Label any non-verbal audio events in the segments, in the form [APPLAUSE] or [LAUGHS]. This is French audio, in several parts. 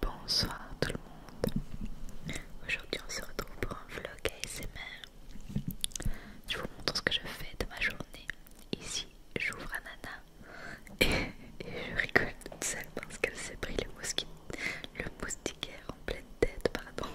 Bonsoir tout le monde. Aujourd'hui on se retrouve pour un vlog ASMR. Je vous montre ce que je fais de ma journée. Ici j'ouvre à nana et, je rigole toute seule parce qu'elle s'est pris le, le moustiquaire en pleine tête. Pardon.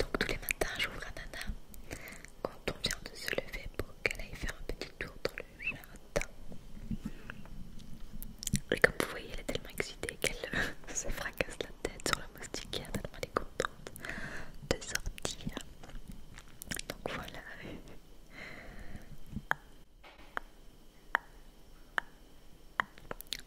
Donc tous les matins j'ouvre à nana quand on vient de se lever pour qu'elle aille faire un petit tour dans le jardin. Et comme vous voyez, elle est tellement excitée qu'elle [LAUGHS] se fracasse la tête sur le moustiquaire, tellement elle est contente de sortir. Donc voilà.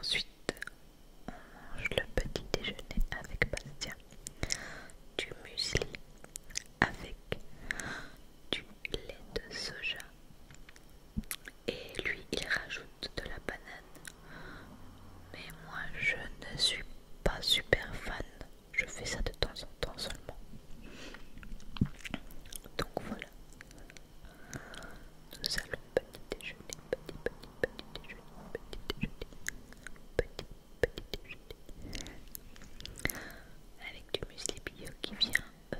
Ensuite, on mange le petit déjeuner avec Bastien. Du muesli avec du lait de soja et lui il rajoute de la banane mais moi je ne suis pas super fan je fais ça de temps en temps seulement donc voilà nous allons petit déjeuner petit petit petit déjeuner petit déjeuner petit avec du muesli bio qui vient euh,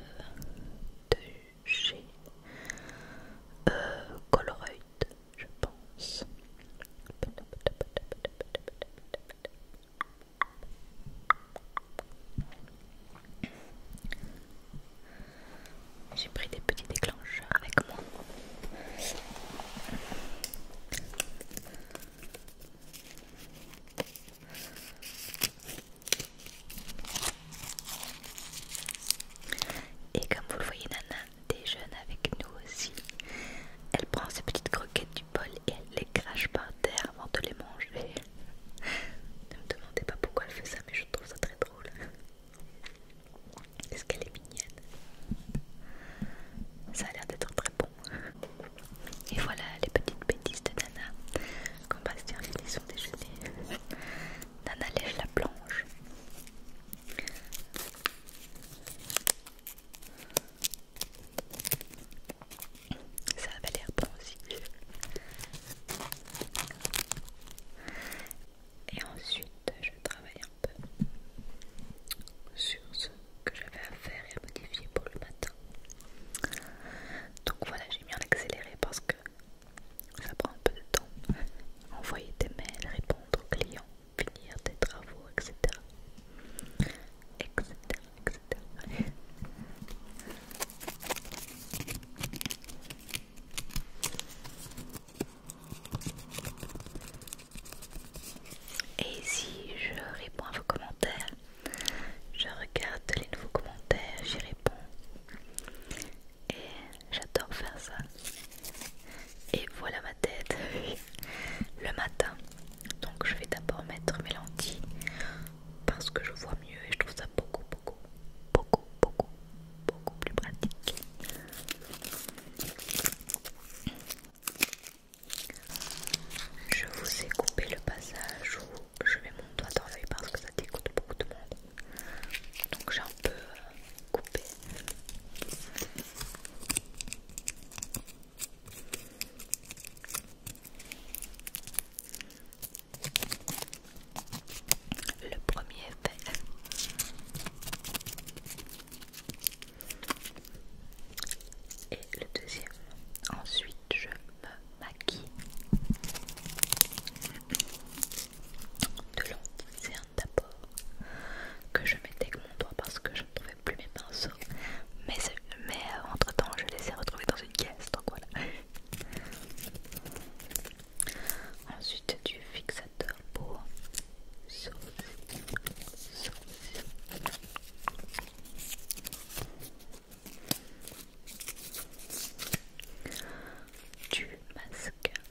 de chez euh, je pense. J'ai pris des petits déclencheurs avec moi. Et comme vous le voyez, Nana déjeune avec nous aussi. Elle prend ses petites croquettes du bol et elle les crache par terre avant de les manger. [LAUGHS] ne me demandez pas pourquoi elle fait ça, mais je trouve ça très drôle. Est-ce qu'elle est mignonne Ça a l'air d'être très bon. Et voilà les petites bêtises de Nana quand Bastien finit son déjeuner. [LAUGHS] Nana lèche la planche. Ça avait l'air pas aussi. Et ensuite, je travaille un peu sur ce que j'avais à faire et à modifier pour le matin. Donc voilà, j'ai mis en accéléré parce que ça prend un peu de temps. Envoyer des mails, répondre aux clients, finir des travaux, etc. etc. etc. Et si je réponds à vos commentaires, je regarde les nouveaux commentaires, j'y réponds. Et j'adore faire ça. Et voilà ma tête [LAUGHS] le matin. Donc je vais d'abord mettre mes lentilles parce que je vois mieux et je trouve ça beaucoup, beaucoup, beaucoup, beaucoup, beaucoup plus pratique. Je vous ai coupé le passage où je mets mon doigt dans l'œil parce que ça dégoûte beaucoup de monde. Donc j'ai un peu euh, coupé. Le premier effet et le deuxième. Ensuite, je me maquille de l'ancien d'abord que je mettais avec mon doigt parce que je ne trouvais plus mes pinceaux, mais, euh, entre temps je les ai retrouvés dans une caisse donc voilà. Ensuite, du fixateur pour sauver, du mascara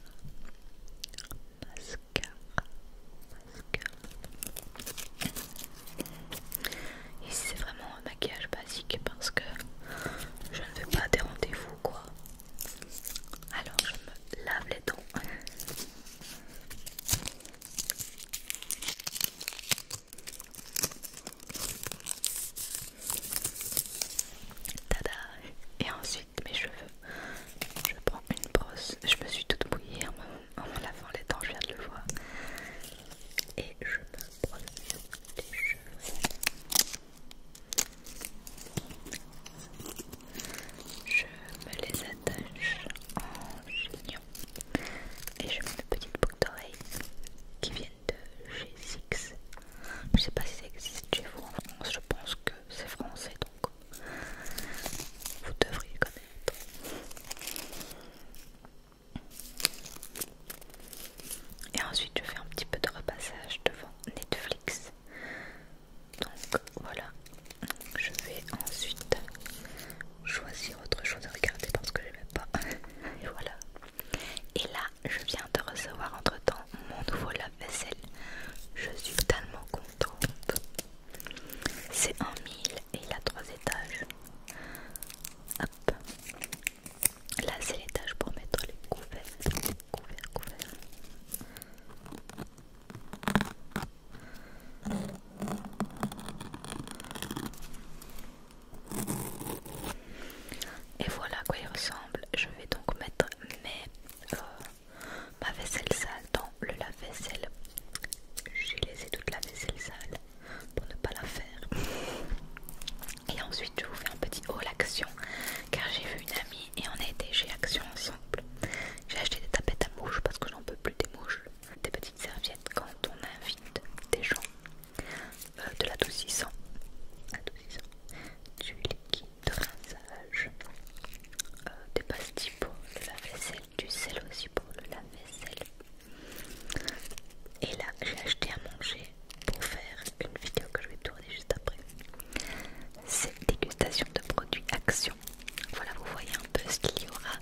mascara mascara Et c'est vraiment un maquillage basique parce que je ne veux pas des rendez-vous quoi alors je me lave les dents Tada Et ensuite mes cheveux. Je prends une brosse. Je me suis toute mouillée en me lavant les dents, je viens de le voir. Et je me brosse les cheveux. Je me les attache en chignon. Et je mets mes petites boucles d'oreilles qui viennent de G 6 Je sais pas si ça existe chez vous en France, je pense que c'est français donc vous devriez connaître. Et ensuite je fais un petit peu de repassage devant Netflix. Donc voilà, je vais ensuite choisir autre chose à regarder parce que j'aimais pas. [LAUGHS] Et voilà. Et là, je viens de recevoir entre temps mon nouveau lave-vaisselle. Je suis tellement contente. C'est en mille et il a trois étages. Hop. Là, c'est l'étage pour mettre les couverts. Couverts, couverts. Et voilà quoi il ressemble. Je vais donc mettre euh, ma vaisselle sale dans le lave-vaisselle. J'ai laissé toute la vaisselle sale pour ne pas la faire. Et ensuite, je vous fais un petit haul action car j'ai vu une amie et on a été chez Action ensemble. J'ai acheté des tapettes à mouches parce que j'en peux plus des mouches serviette quand on invite des gens. Euh, de l'adoucissant, du liquide de rinçage, euh, des pastilles pour le lave-vaisselle, du sel aussi pour le lave-vaisselle. Et là, j'ai acheté à manger pour faire une vidéo que je vais tourner juste après. cette dégustation de produits Action voilà, vous voyez un peu ce qu'il y aura.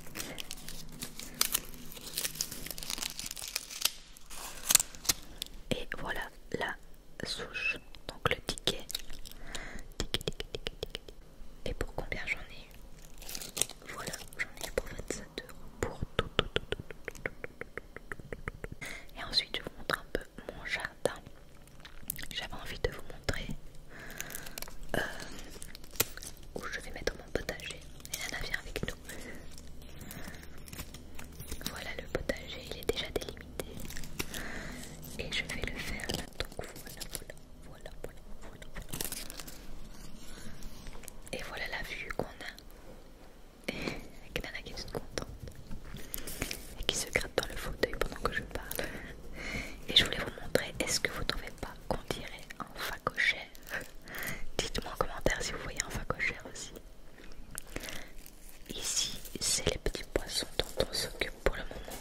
Et voilà la souche, donc le ticket. Et pour combien j'en ai eu Voilà, j'en ai eu pour 27 euros. Pour tout, tout, tout. Et ensuite, je vous montre un peu mon jardin. J'avais envie de vous montrer euh, où je vais mettre mon potager. Et Nana vient avec nous. Voilà le potager, il est déjà délimité. Et je vais le faire là. Donc voilà, voilà, voilà, voilà, voilà. Et voilà la vue qu'on a. Avec Nana qui est contente. Et qui se gratte dans le fauteuil pendant que je parle. Et je voulais vous montrer, est-ce que vous trouvez pas qu'on dirait un facochère. [LAUGHS] Dites-moi en commentaire si vous voyez un facochère aussi. Ici, c'est les petits poissons dont on s'occupe pour le moment.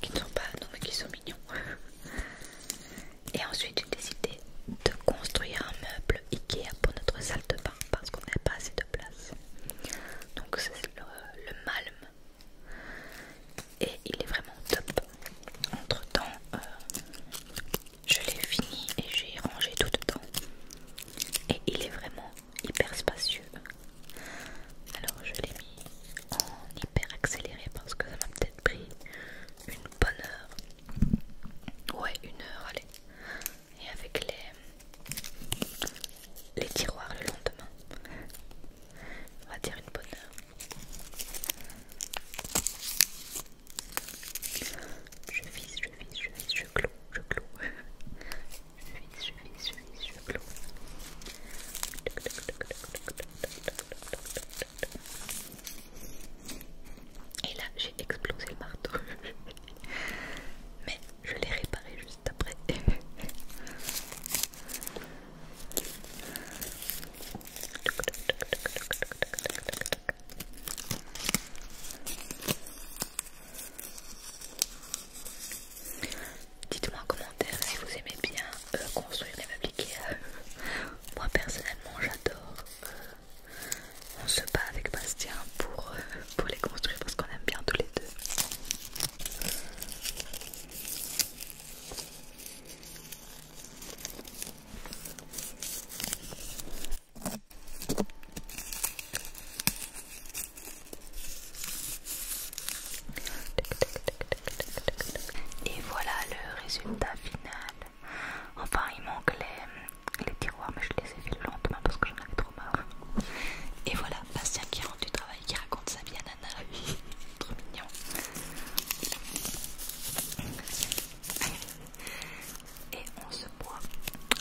Qui ne sont pas, non mais qui sont mignons. [LAUGHS] Et ensuite, j'ai décidé de construire un meuble Ikea pour notre salle de bain parce qu'on n'a pas assez de place. Donc, c'est le, le malme et il est vraiment top. Entre temps, euh, je l'ai fini et j'ai rangé tout dedans et il est vraiment hyper spacieux. Alors je l'ai mis en hyper accéléré parce que ça m'a peut-être pris une bonne heure. Ouais, une heure, allez. Et avec les, les tiroirs le lendemain on va dire une bonne heure. Je vise, je vise, je vise, je clôt, je clôt. [LAUGHS] Je vise, je vise, je vise, je clôt. Et là, j'ai explosé le marteau. [LAUGHS] Mais je l'ai réparé juste D'après. [LAUGHS] Dites-moi en commentaire si vous aimez bien euh, construire construire les à eux Moi personnellement j'adore. Euh, on se bat avec Bastien pour, euh, pour les construire parce qu'on aime bien tous les deux. Et voilà le résultat final. Enfin, il manque les, les tiroirs, mais je les ai fait le lendemain parce que j'en avais trop marre. Et voilà, Bastien qui rentre du travail, qui raconte sa vie Trop mignon. Et on se boit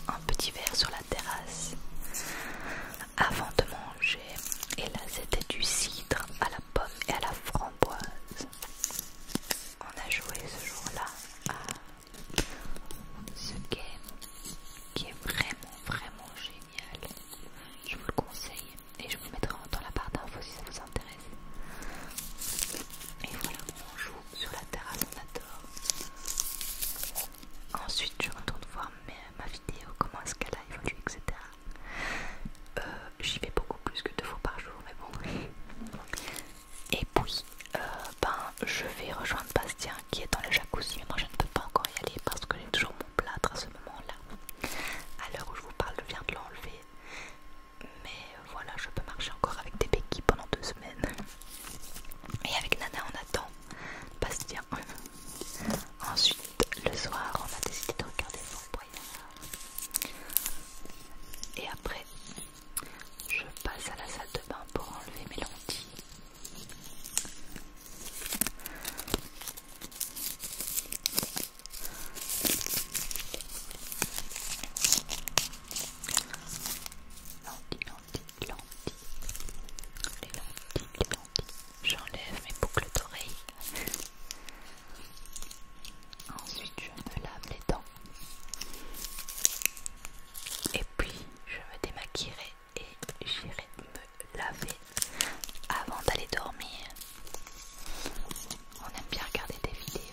un petit verre sur la terrasse avant de manger. Et là, c'était du cidre à la pomme et à la framboise. On a joué ce jour-là à ce game qui est vraiment, vraiment génial. Je vous le conseille et je vous mettrai dans la barre d'infos si ça vous intéresse. Et voilà, on joue sur la terrasse, on adore. Ensuite, je retourne voir ma vidéo, comment est-ce qu'elle a évolué, etc. Euh, j'y vais beaucoup plus que deux fois par jour, mais bon. Et puis, euh, ben, je vais rejoindre Bastien qui est dans le jacuzzi, mais moi je ne peux pas encore y aller parce que j'ai toujours plâtre à ce moment-là. À l'heure où je vous parle, je viens de l'enlever. Mais voilà, je peux marcher encore avec des béquilles pendant deux semaines. Et avec Nana, on attend. Bastien. [LAUGHS] Ensuite, le soir, on a décidé de regarder son Boyard. Et après, je passe à la salle de bain pour enlever mes lentilles. Lentilles, lentilles, lentilles. Les lentilles, les J'enlève mes boucles d'oreilles. Ensuite, je me lave les dents. Et puis, je me démaquillerai et j'irai me laver avant d'aller dormir. On aime bien regarder des vidéos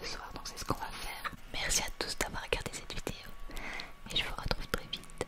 le soir, donc c'est ce qu'on va faire. Merci à tous d'avoir regardé cette vidéo et je vous retrouve très vite.